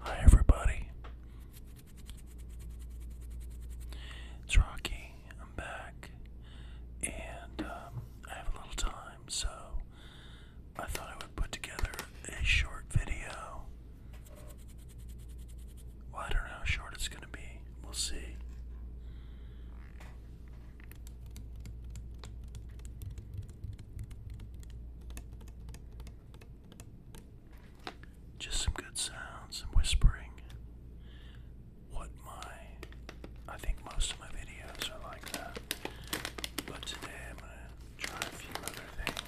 Hi everybody. It's Rocky. I'm back. And um, I have a little time, so I thought I would put together a short video. Well, I don't know how short it's going to be. We'll see. Just some good sounds, and whispering. What my, I think most of my videos are like that. But today I'm gonna try a few other things.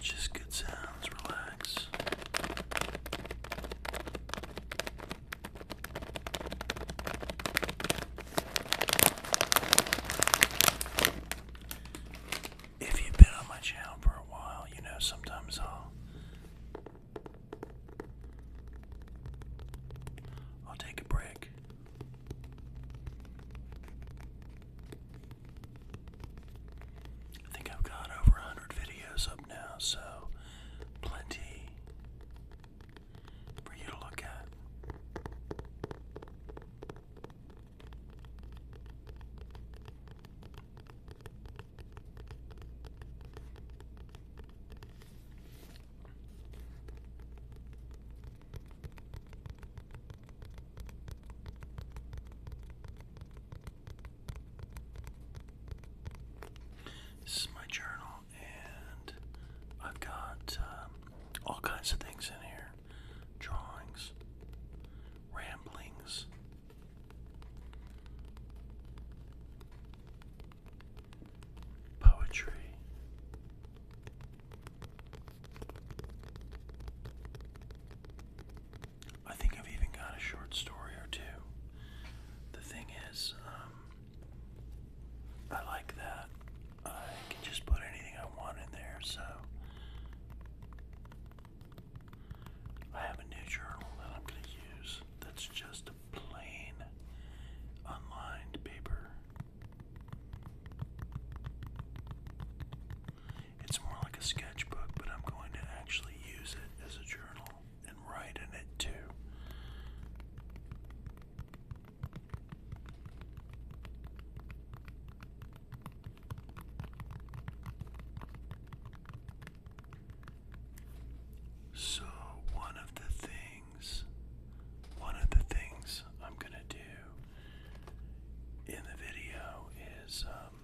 Just good sounds, relax. If you've been on my channel for a while, you know sometimes I'll I'll take a break I think I've got over 100 videos up now, so plenty for you to look at. This is my journal, and I've got um, all kinds of things in here drawings, ramblings poetry. I think I've even got a short story or two. The thing is, um, I like that. I can just put anything I want in there, so. I have a new journal that I'm going to use that's just plain unlined paper it's more like a sketchbook, but I'm going to actually use it as a journal and write in it too. So, one of the things things, one of the things I'm going to do in the video is um,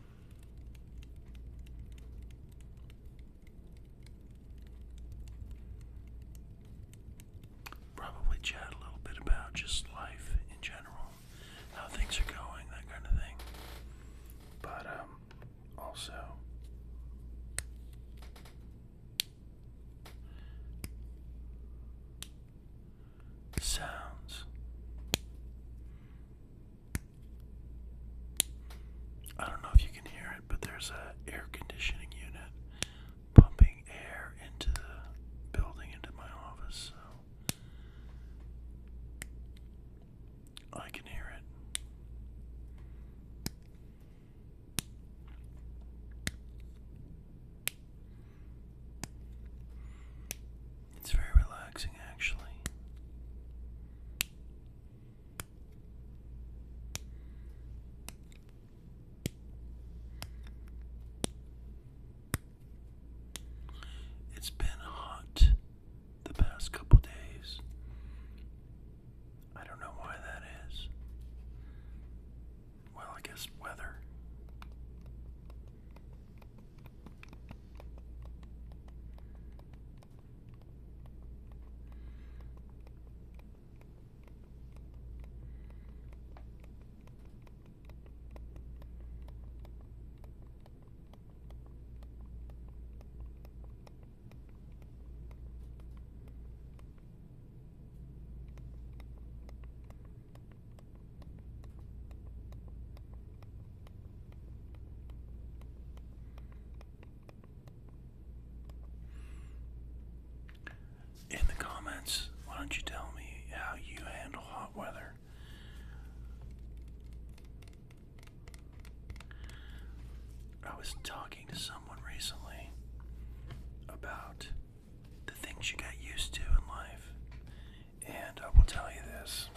probably chat a little bit about just life in general, how things are going, that kind of thing. But um, also, sounds. I don't know if you can hear it, but there's a air conditioning unit pumping air into the building, into my office, so I can hear it. It's very relaxing, actually. It's been hot the past couple days, I don't know why that is. Well, I guess weather. In the comments, why don't you tell me how you handle hot weather? I was talking to someone recently about the things you got used to in life. And I will tell you this.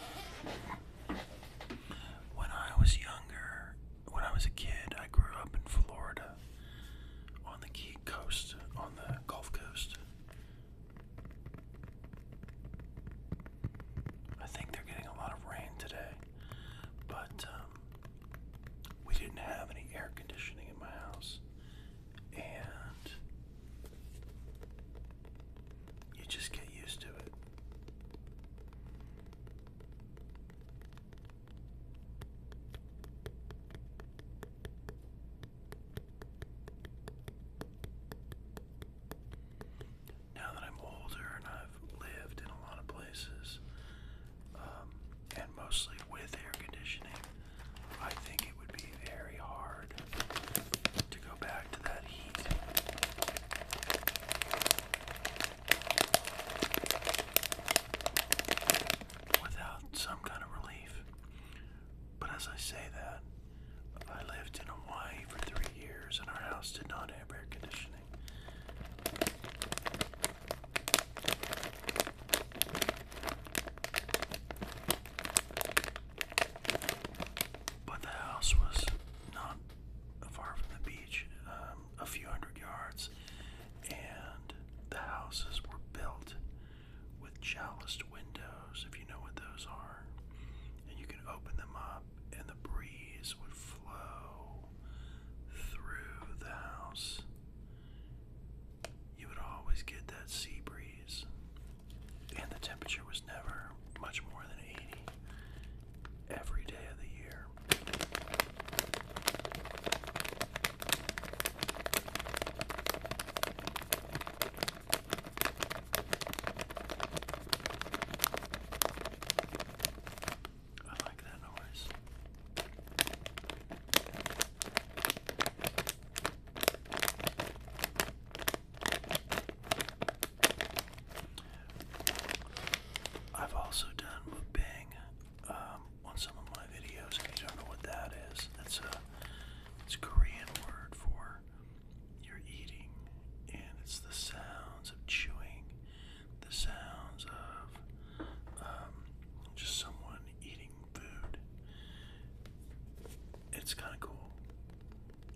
When I was younger, when I was a kid, I grew up in Florida on the Key Coast, on the Gulf Coast. I think they're getting a lot of rain today. But um, we didn't have any air conditioning in my house, and you just get used to it. Now that I'm older and I've lived in a lot of places, um, and mostly with air conditioning, I think it would be very hard to go back to that heat. Without some kind of relief. But as I say that, I lived in Hawaii for three years and our house did not have air conditioning. But the house was not far from the beach, um, a few hundred yards, and the houses were built with chaliced windows, if you know what those are. And you could open them up, and the breeze would through the house, you would always get that sea breeze. And the temperature was never much more than 80 every day of the year. I like that noise. I've also done mukbang um, on some of my videos. If you don't know what that is, that's a it's a Korean word for you're eating, and it's the sounds of chewing the sounds of um, just someone eating food. It's kind of cool.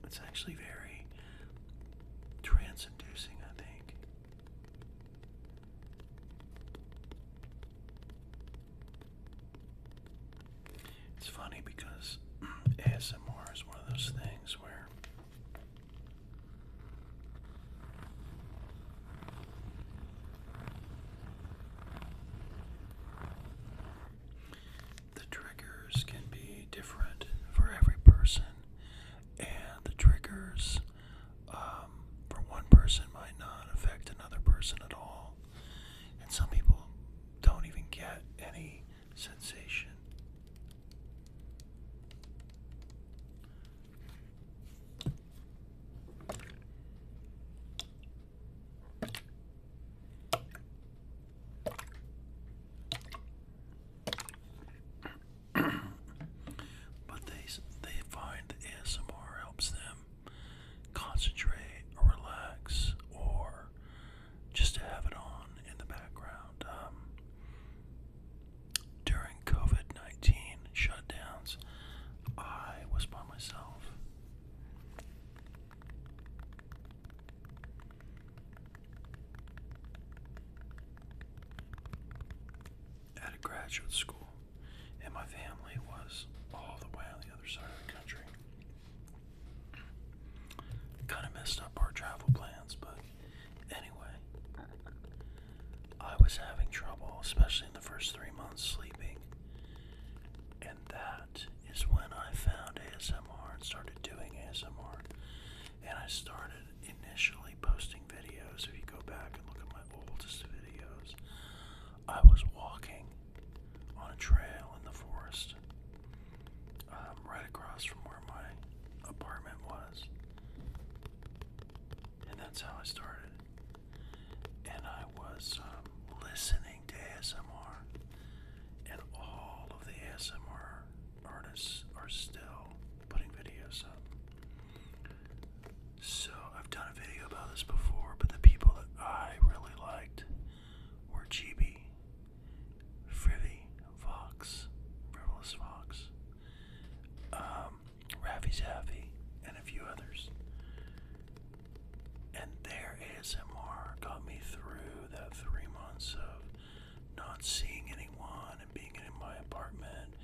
It's actually very trance inducing, I think. It's funny because ASMR is one of those things where the triggers can be different for every person, and the triggers um, for one person might not affect another person at all. And some people don't even get any sensation but they they find ASMR helps them concentrate or relax or just to have it on in the background. Um, during COVID 19 shutdowns, I was by myself. At a graduate school, and my family was all the way on the other side of the country. Kind of messed up our travel plans, but Anyway, I was having trouble, especially in the first three months, sleeping. And that is when I found ASMR and started doing ASMR. And I started initially posting videos. If you go back and look at my oldest videos, I was walking on a trail in the forest um, right across from where my apartment was. And that's how I started. And I was um, listening to ASMR, and all of the ASMR artists are still putting videos up. So I've done a video about this before, but the people that I really liked were Chibi, Frivy, Vox, Frivolous Fox, um, Ravi Zavi, and a few others. And their ASMR got me through that three months of not seeing anyone and being in my apartment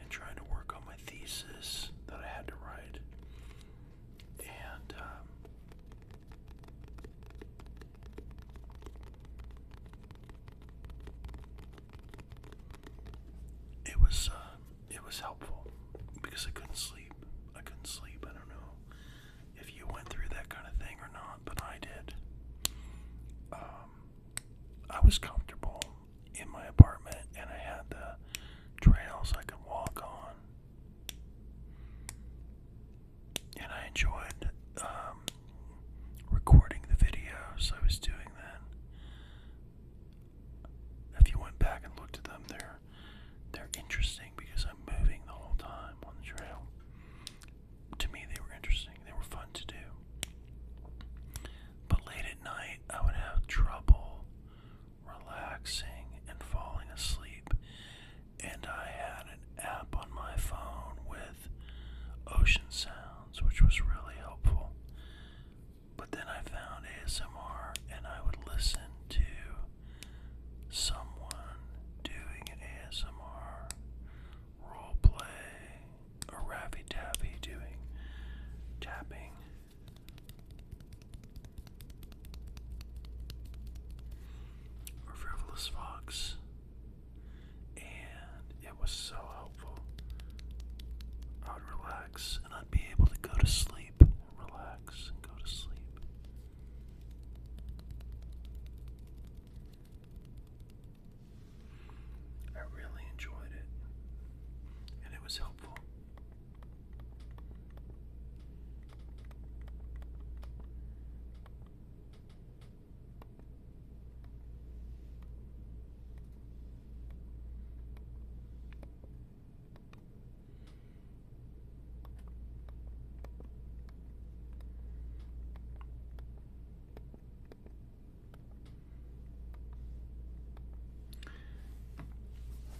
and trying to work on my thesis that I had to write. And um, it was uh, it was helpful because I couldn't sleep. I couldn't sleep. I don't know if you went through that kind of thing or not, but I did. Um, I was comfortable in my apartment, and I had the trails I could walk on, and I enjoyed um, recording the videos I was doing that. If you went back and looked at them, they're they're interesting because I'm moving the whole time on the trail. To me, they were interesting. They were fun to do. But late at night, I would have trouble relaxing and falling asleep. And I had an app on my phone with ocean sounds which was really helpful. But then I found ASMR and I would listen to someone doing an ASMR role play or Ravi Taffy doing tapping. Or Frivolous Fox and it was so helpful. I would relax and I'd be able to go to sleep. Relax and go to sleep. I really enjoyed it and it was helpful.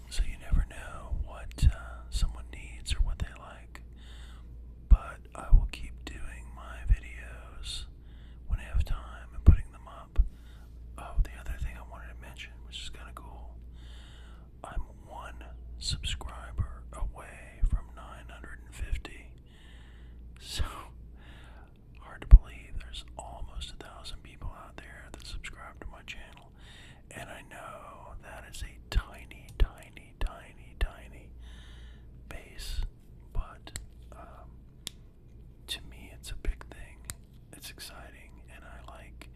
So you never know what uh, someone needs or what they like, but I will keep doing my videos when I have time and putting them up. Oh, the other thing I wanted to mention, which is kind of cool, I'm one subscriber away from 950. So, hard to believe there's almost a thousand people out there that subscribe to my channel. And I know that is a tiny, tiny, tiny, tiny base but um, to me, it's a big thing. It's exciting, and I like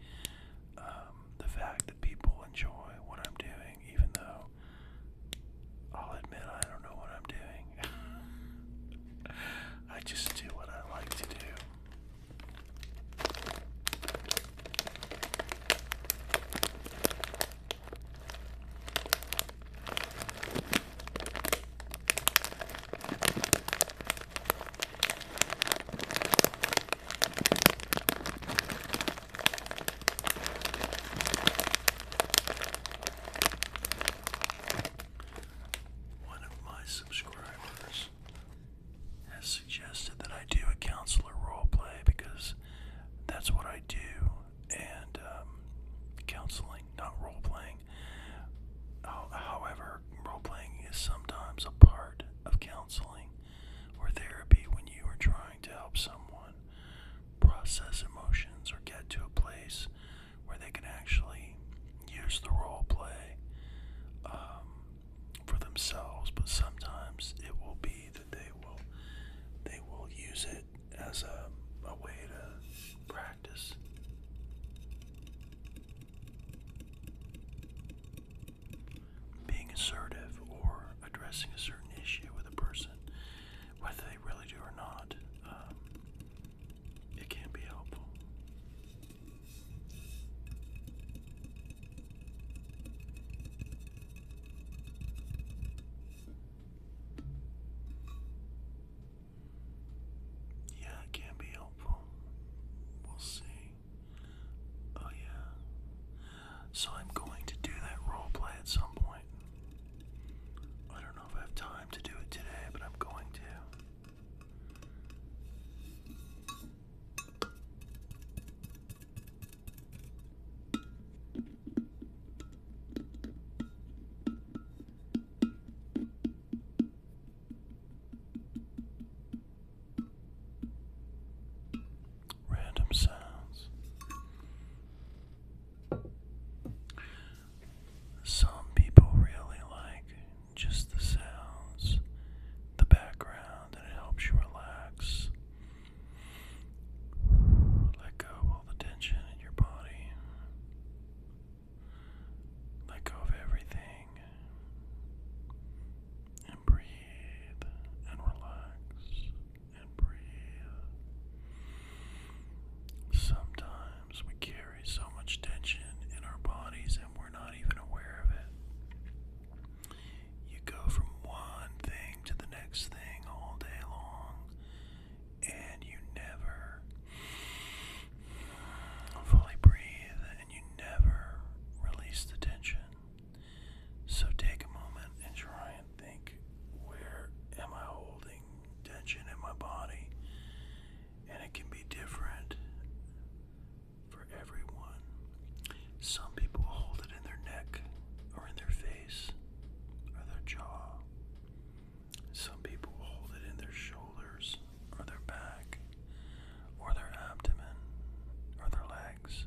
um, the fact that people enjoy what I'm doing, even though I'll admit I don't know what I'm doing. I just do what I like to do. One of my subscribers has suggested that I do a counselor role play because that's what I do and um, counseling, not role playing. However, role playing is sometimes a part of counseling or therapy when you are trying to help someone process emotions or get to a place where they can actually use the role play um, for themselves. But sometimes it will be that they will they will use it as a, a way to practice. Being assertive or addressing a certain issue with a person, whether they really do or not, um, it can be helpful. Yeah, it can be helpful. We'll see. Oh, yeah. So I'm going to do that role play at some point. I don't know if I have time to do it today, but I'm going to. Random sounds. Some people really like just the sounds, the background, and it helps you relax. Let go of all the tension in your body. Let go of everything. And breathe and relax and breathe. Sometimes we carry so much tension in our bodies and we're not even aware of it. You go from one thing to the next thing all day long and you never fully breathe and you never release the tension. So take a moment and try and think where am I holding tension in my body? And it can be different for everyone. Some people hold it in their neck or in their face or their jaw. Some people hold it in their shoulders or their back or their abdomen or their legs.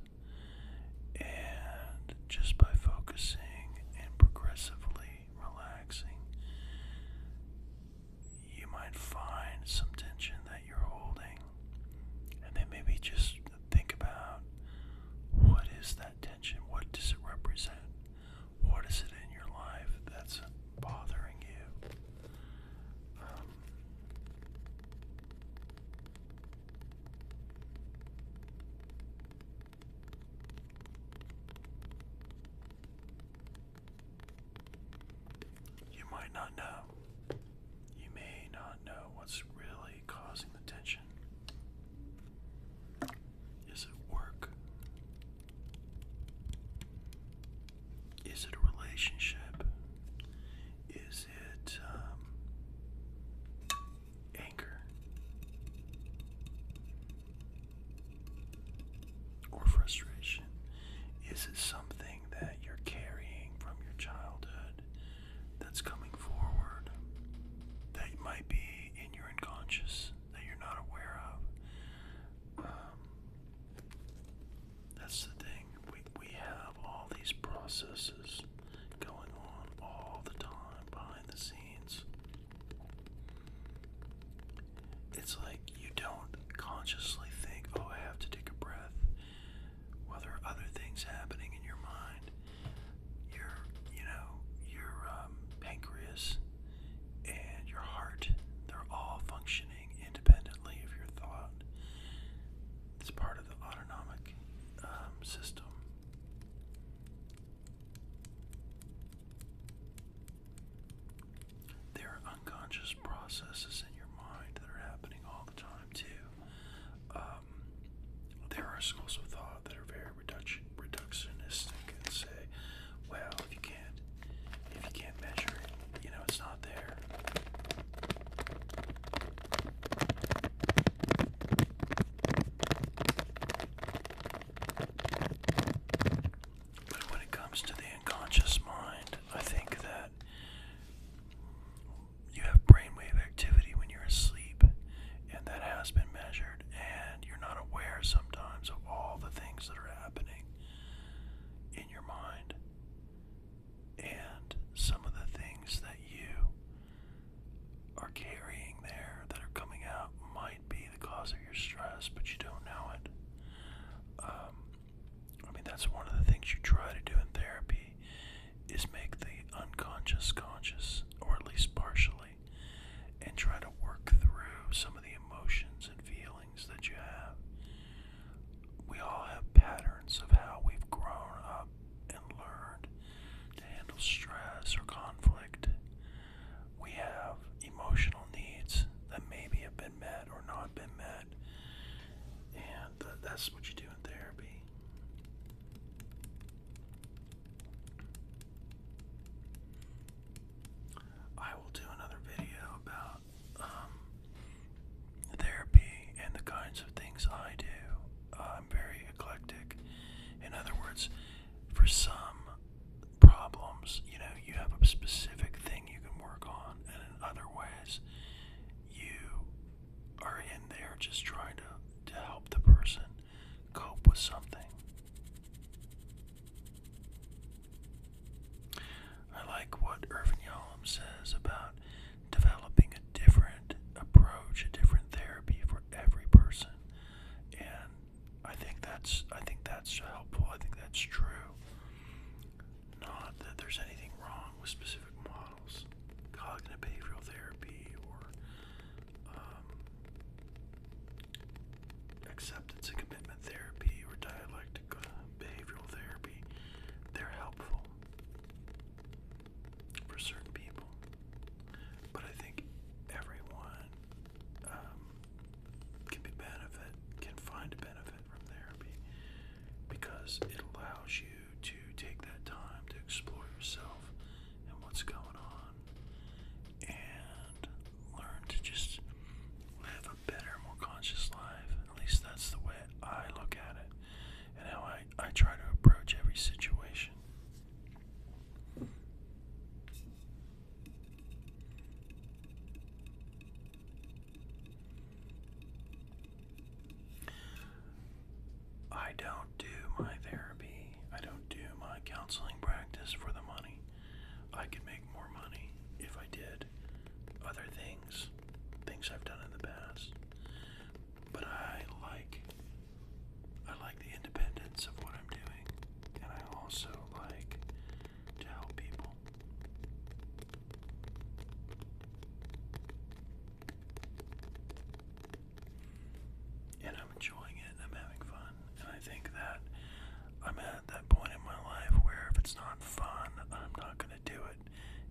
And just by focusing and progressively relaxing, you might find some tension that you're holding. And then maybe just think about what is that. What does it represent? What is it in your life that's bothering you? Um, you might not know. You may not know what's really causing the tension? Is it work? Is it a relationship? Is it um, anger? Or frustration? Is it something that you're carrying from your childhood? that's coming forward that might be in your unconscious that you're not aware of. Um, that's the thing. We, we have all these processes going on all the time behind the scenes. It's like you don't consciously think, oh, I have to take a breath. Well, there are other things happening in your mind. Your, you know, your um, pancreas and your heart, they're all functioning independently of your thought. It's part of the autonomic um, system. There are unconscious processes in your mind that are happening all the time, too. Um, there are schools of thought that are very reductionistic and say, well, if you can't, if you can't measure it, you know, it's not there. But when it comes to the unconscious mind, I think that you have brainwave activity when you're asleep, and that has been measured, and you're not aware sometimes of all the things that are happening in your mind. And some of the things that you are carrying there that are coming out might be the cause of your stress, but you don't know it. Um, I mean, that's one of the things you try to do in therapy is make the unconscious conscious, or at least partially, and try to work through some of the emotions and feelings that you have. We all have patterns of how we've grown up and learned to handle stress or conflict. We have emotional needs that maybe have been met or not been met. And that's what you do in therapy. I will do another video about um, therapy and the kinds of things I do. Uh, I'm very eclectic. In other words, for some problems, you know, you have a specific thing you can work on, and in other ways, you are in there just trying to, to help the person cope with something. I like what Irvin Yalom says about developing a different approach, a different therapy for every person. And I think that's I think that's helpful. I think that's true. Not that there's anything wrong with specific models cognitive behavioral therapy, or um, acceptance and commitment therapy, or dialectic uh, behavioral therapy, they're helpful for certain people. But I think everyone um, can be benefit, can find benefit from therapy because it allows you to take that time to explore yourself and what's going on and learn to just live a better, more conscious life. At least that's the way I look at it and how I, I try to approach every situation. I don't do my therapy. I don't do my counseling practice for the money. I could make more money if I did other things, things I've done in the past. But I like I like the independence of what I'm doing, and I also like to help people and I'm enjoying it I'm having fun. And I think that I'm at that point in my life where if it's not fun, I'm not going to do it.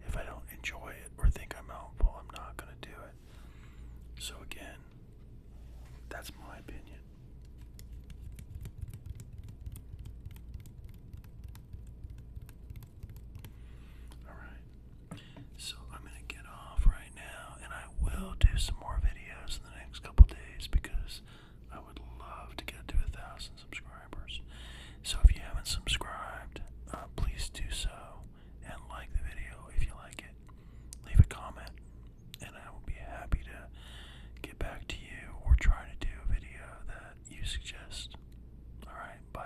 If I don't enjoy it or think I'm helpful, I'm not going to do it. So, again, that's my opinion. Alright. So I'm going to get off right now, and I will do some more videos in the next couple days because I would love to get to a thousand subscribers. So if you haven't subscribed, uh, please do so and like the video if you like it. Leave a comment, and I will be happy to get back to you or try to do a video that you suggest. Alright, bye